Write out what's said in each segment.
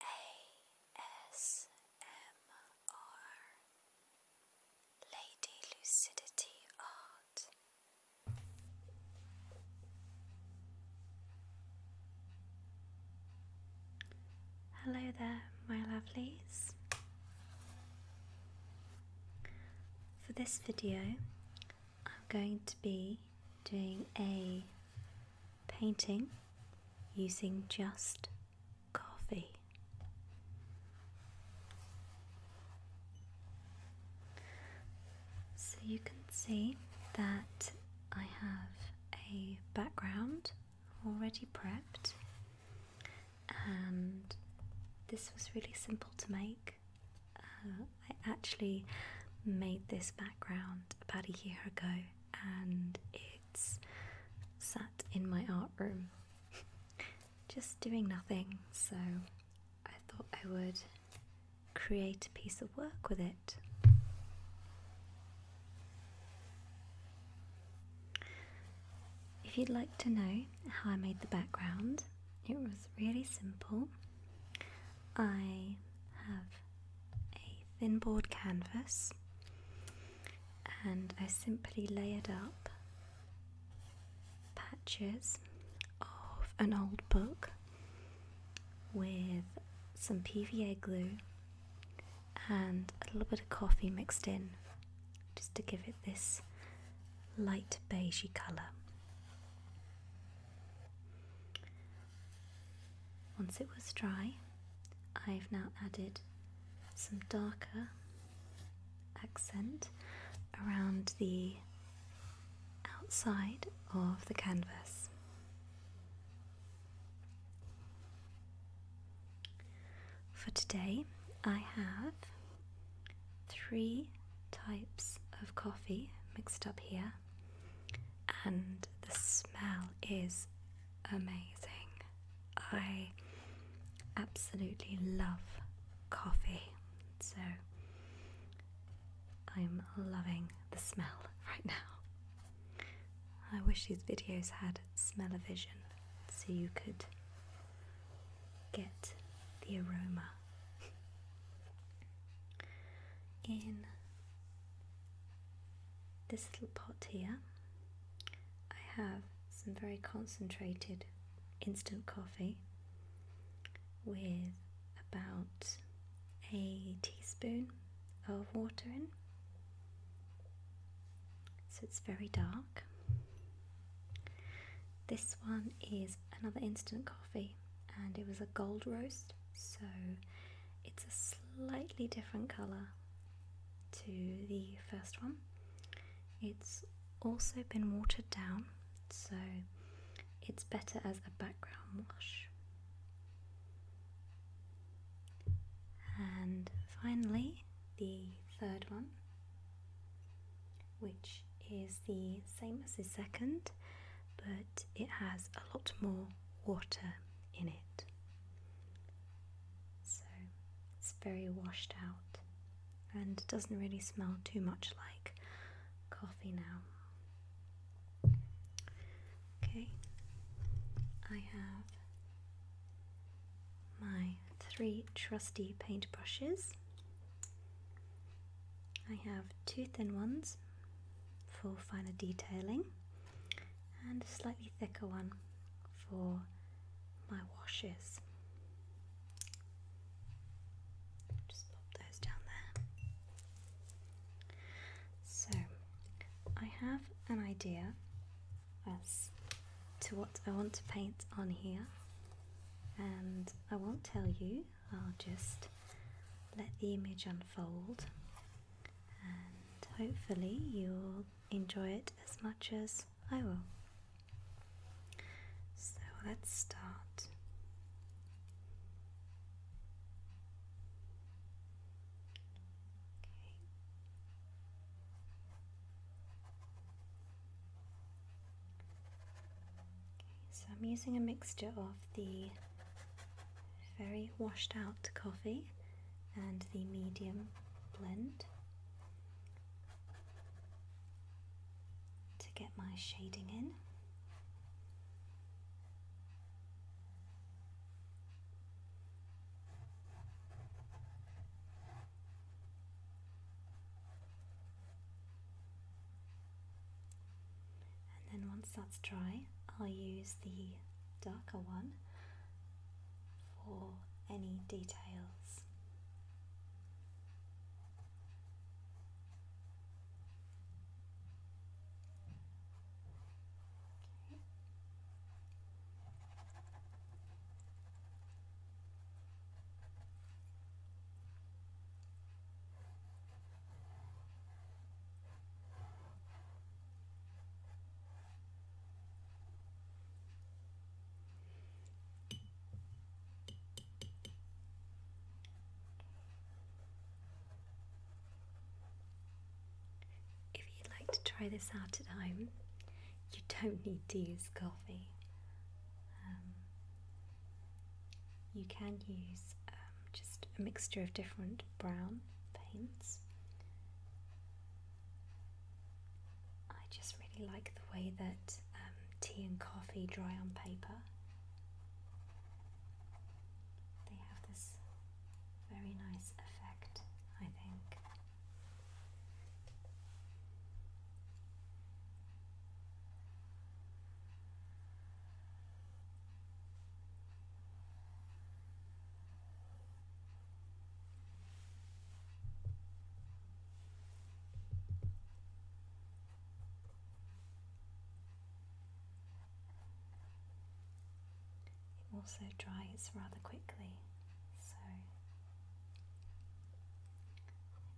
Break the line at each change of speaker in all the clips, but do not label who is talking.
ASMR Lady Lucidity Art. Hello there, my lovelies. For this video, I'm going to be doing a painting using just coffee. So you can see that I have a background already prepped and this was really simple to make. Uh, I actually made this background about a year ago and it's sat in my art room just doing nothing. So I thought I would create a piece of work with it. If you'd like to know how I made the background, it was really simple. I have a thin board canvas and I simply layered up patches of an old book with some PVA glue and a little bit of coffee mixed in just to give it this light beigey colour. Once it was dry, I've now added some darker accent around the outside of the canvas. For today, I have three types of coffee mixed up here, and the smell is amazing. I absolutely love coffee, so I'm loving the smell right now. I wish these videos had smell-o-vision so you could get the aroma. In this little pot here, I have some very concentrated instant coffee with about a teaspoon of water in. So it's very dark. This one is another instant coffee and it was a gold roast so it's a slightly different colour to the first one. It's also been watered down, so it's better as a background wash. And finally, the third one, which is the same as the second, but it has a lot more water in it. So it's very washed out and doesn't really smell too much like coffee now. Okay, I have my three trusty paintbrushes. I have two thin ones for finer detailing and a slightly thicker one for my washes. Just pop those down there. So I have an idea as to what I want to paint on here, and I won't tell you, I'll just let the image unfold and hopefully you'll enjoy it as much as I will. So let's start. Okay. so I'm using a mixture of the very washed out coffee and the medium blend to get my shading in. And then once that's dry, I'll use the darker one for any details. If you'd like to try this out at home, you don't need to use coffee. Um, you can use um, just a mixture of different brown paints I just really like the way that um, tea and coffee dry on paper. They have this very nice effect, I think. It also dries rather quickly, so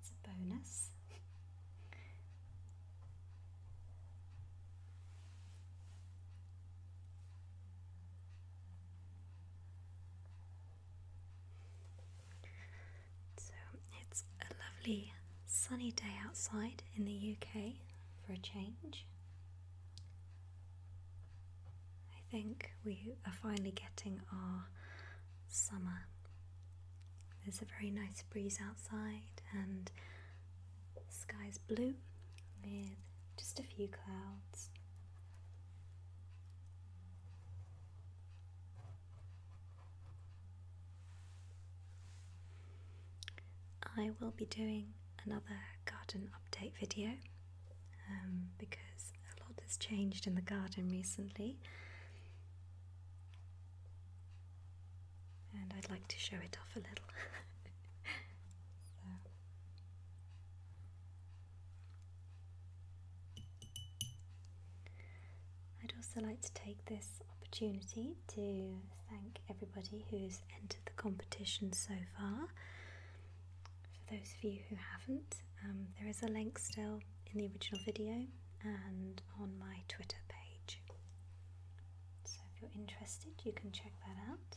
it's a bonus. So it's a lovely sunny day outside in the UK for a change. I think we are finally getting our summer. There's a very nice breeze outside and the sky's blue with just a few clouds. I will be doing another garden update video um, because a lot has changed in the garden recently and I'd like to show it off a little. I'd also like to take this opportunity to thank everybody who's entered the competition so far. For those of you who haven't, um, there is a link still in the original video and on my Twitter page. So if you're interested, you can check that out.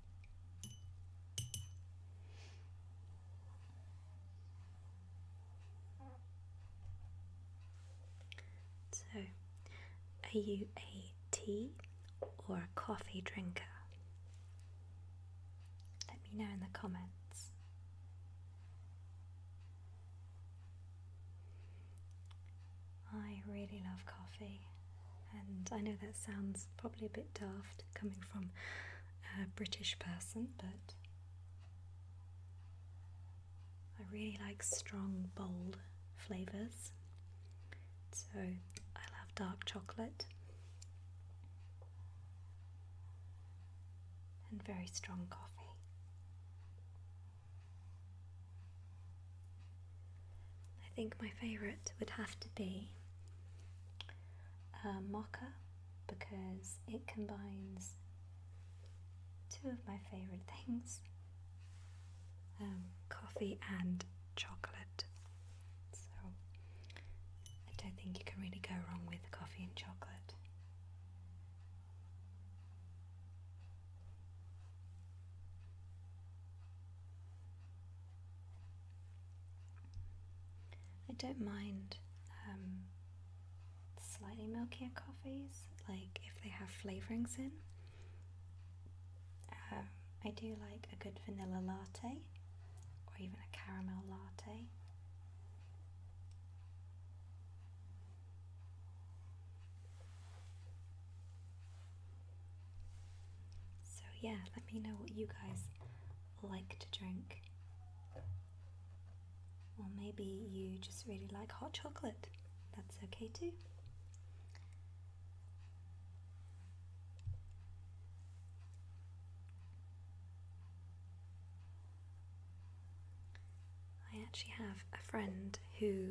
So, are you a tea or a coffee drinker? Let me know in the comments. I really love coffee. And I know that sounds probably a bit daft coming from a British person, but I really like strong, bold flavours. So I love dark chocolate and very strong coffee. I think my favourite would have to be uh, Mocha because it combines two of my favourite things um, coffee and chocolate. So I don't think you can really go wrong with coffee and chocolate. I don't mind um, slightly milkier coffees, like if they have flavorings in. Um, I do like a good vanilla latte or even a caramel latte. So, yeah, let me know what you guys like to drink. Or maybe you just really like hot chocolate. That's okay too. I actually have a friend who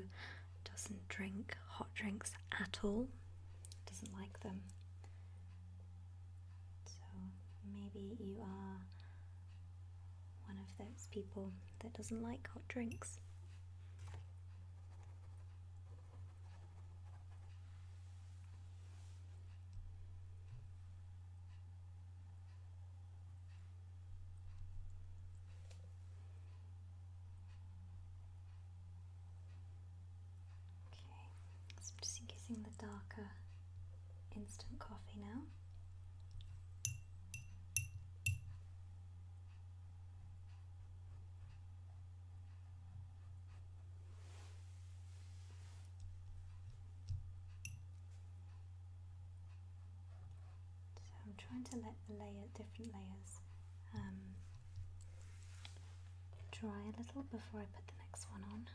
doesn't drink hot drinks at all, doesn't like them. So maybe you are one of those people that doesn't like hot drinks. I'm just using the darker instant coffee now. So I'm trying to let the layer different layers um, dry a little before I put the next one on.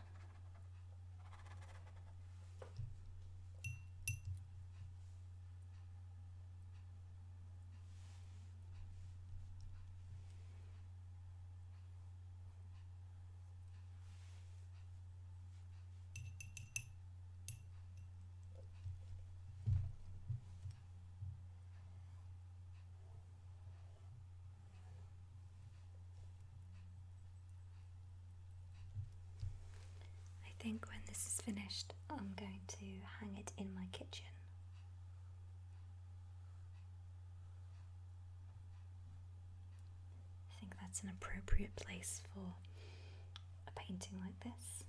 I think when this is finished, I'm going to hang it in my kitchen. I think that's an appropriate place for a painting like this.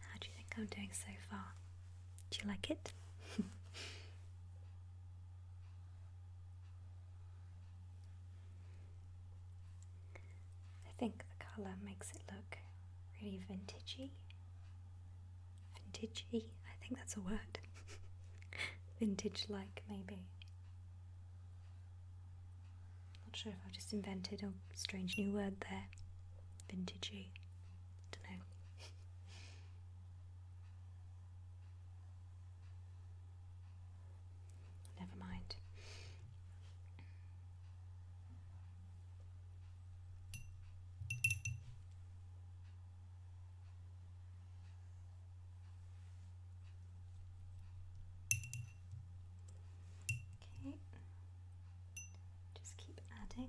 How do you think I'm doing so far? Do you like it? I think the colour makes it look really vintagey. Vintagey, I think that's a word. Vintage like, maybe. Not sure if I've just invented a strange new word there. Vintagey. Don't know. Never mind. Okay, just keep adding.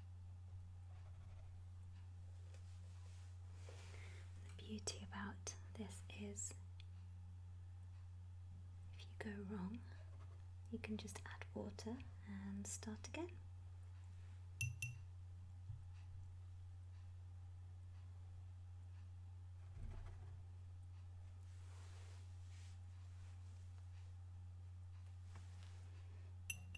The beauty about this is if you go wrong, you can just add water and start again.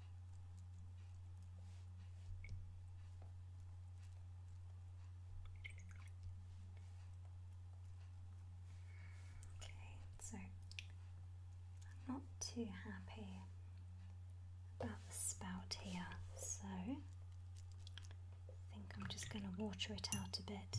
Okay, so I'm not too happy about the spout here, so I think I'm just going to water it out a bit.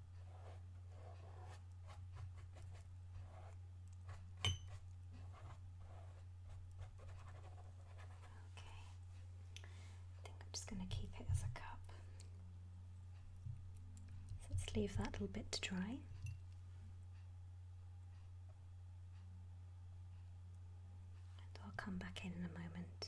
I think I'm just going to keep it as a cup. So let's leave that little bit to dry. And I'll come back in in a moment.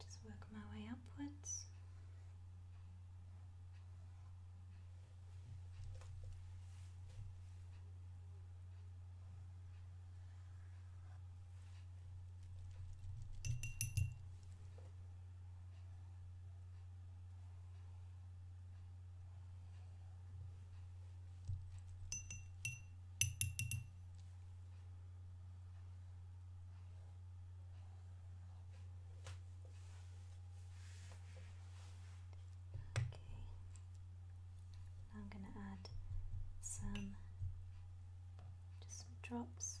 Just work my way upwards now I'm going to add some just some drops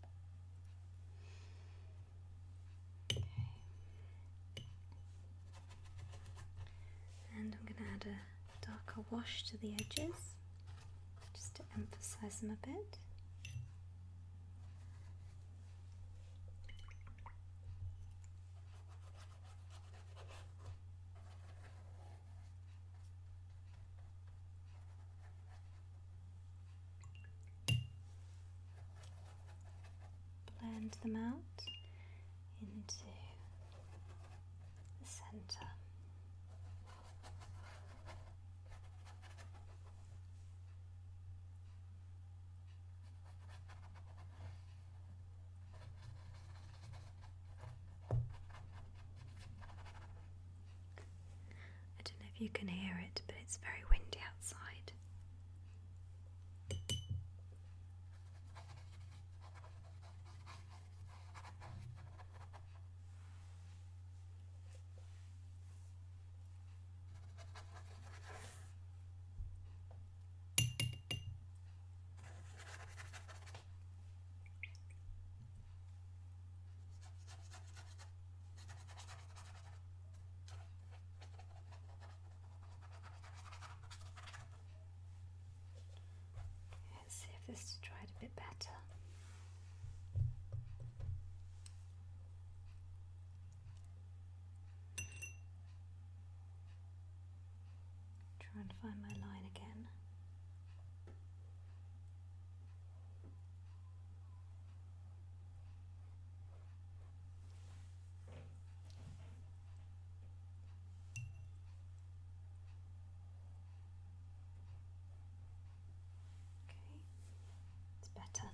And I'm going to add a darker wash to the edges just to emphasize them a bit blend them out into the centre. I don't know if you can hear it, but it's very windy outside. Let's see if this is dried a bit better. Try and find my line again. Okay, it's better.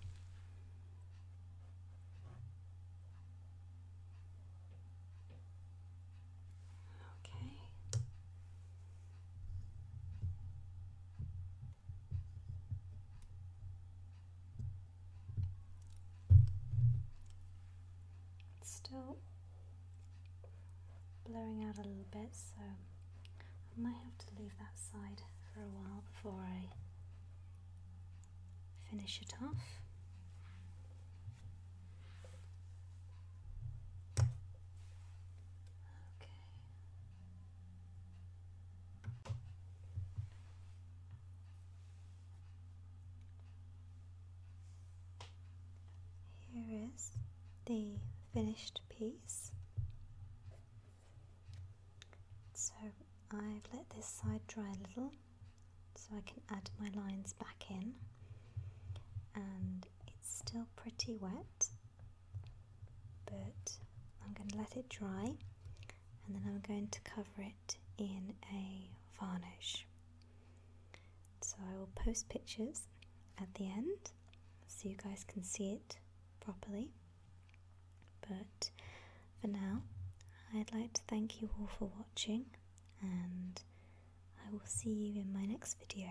Okay still blowing out a little bit, so I might have to leave that side for a while before I finish it off. Okay. Here is the finished piece. So I've let this side dry a little so I can add my lines back in and it's still pretty wet but I'm going to let it dry and then I'm going to cover it in a varnish. So I will post pictures at the end so you guys can see it properly. But for now, I'd like to thank you all for watching and I will see you in my next video.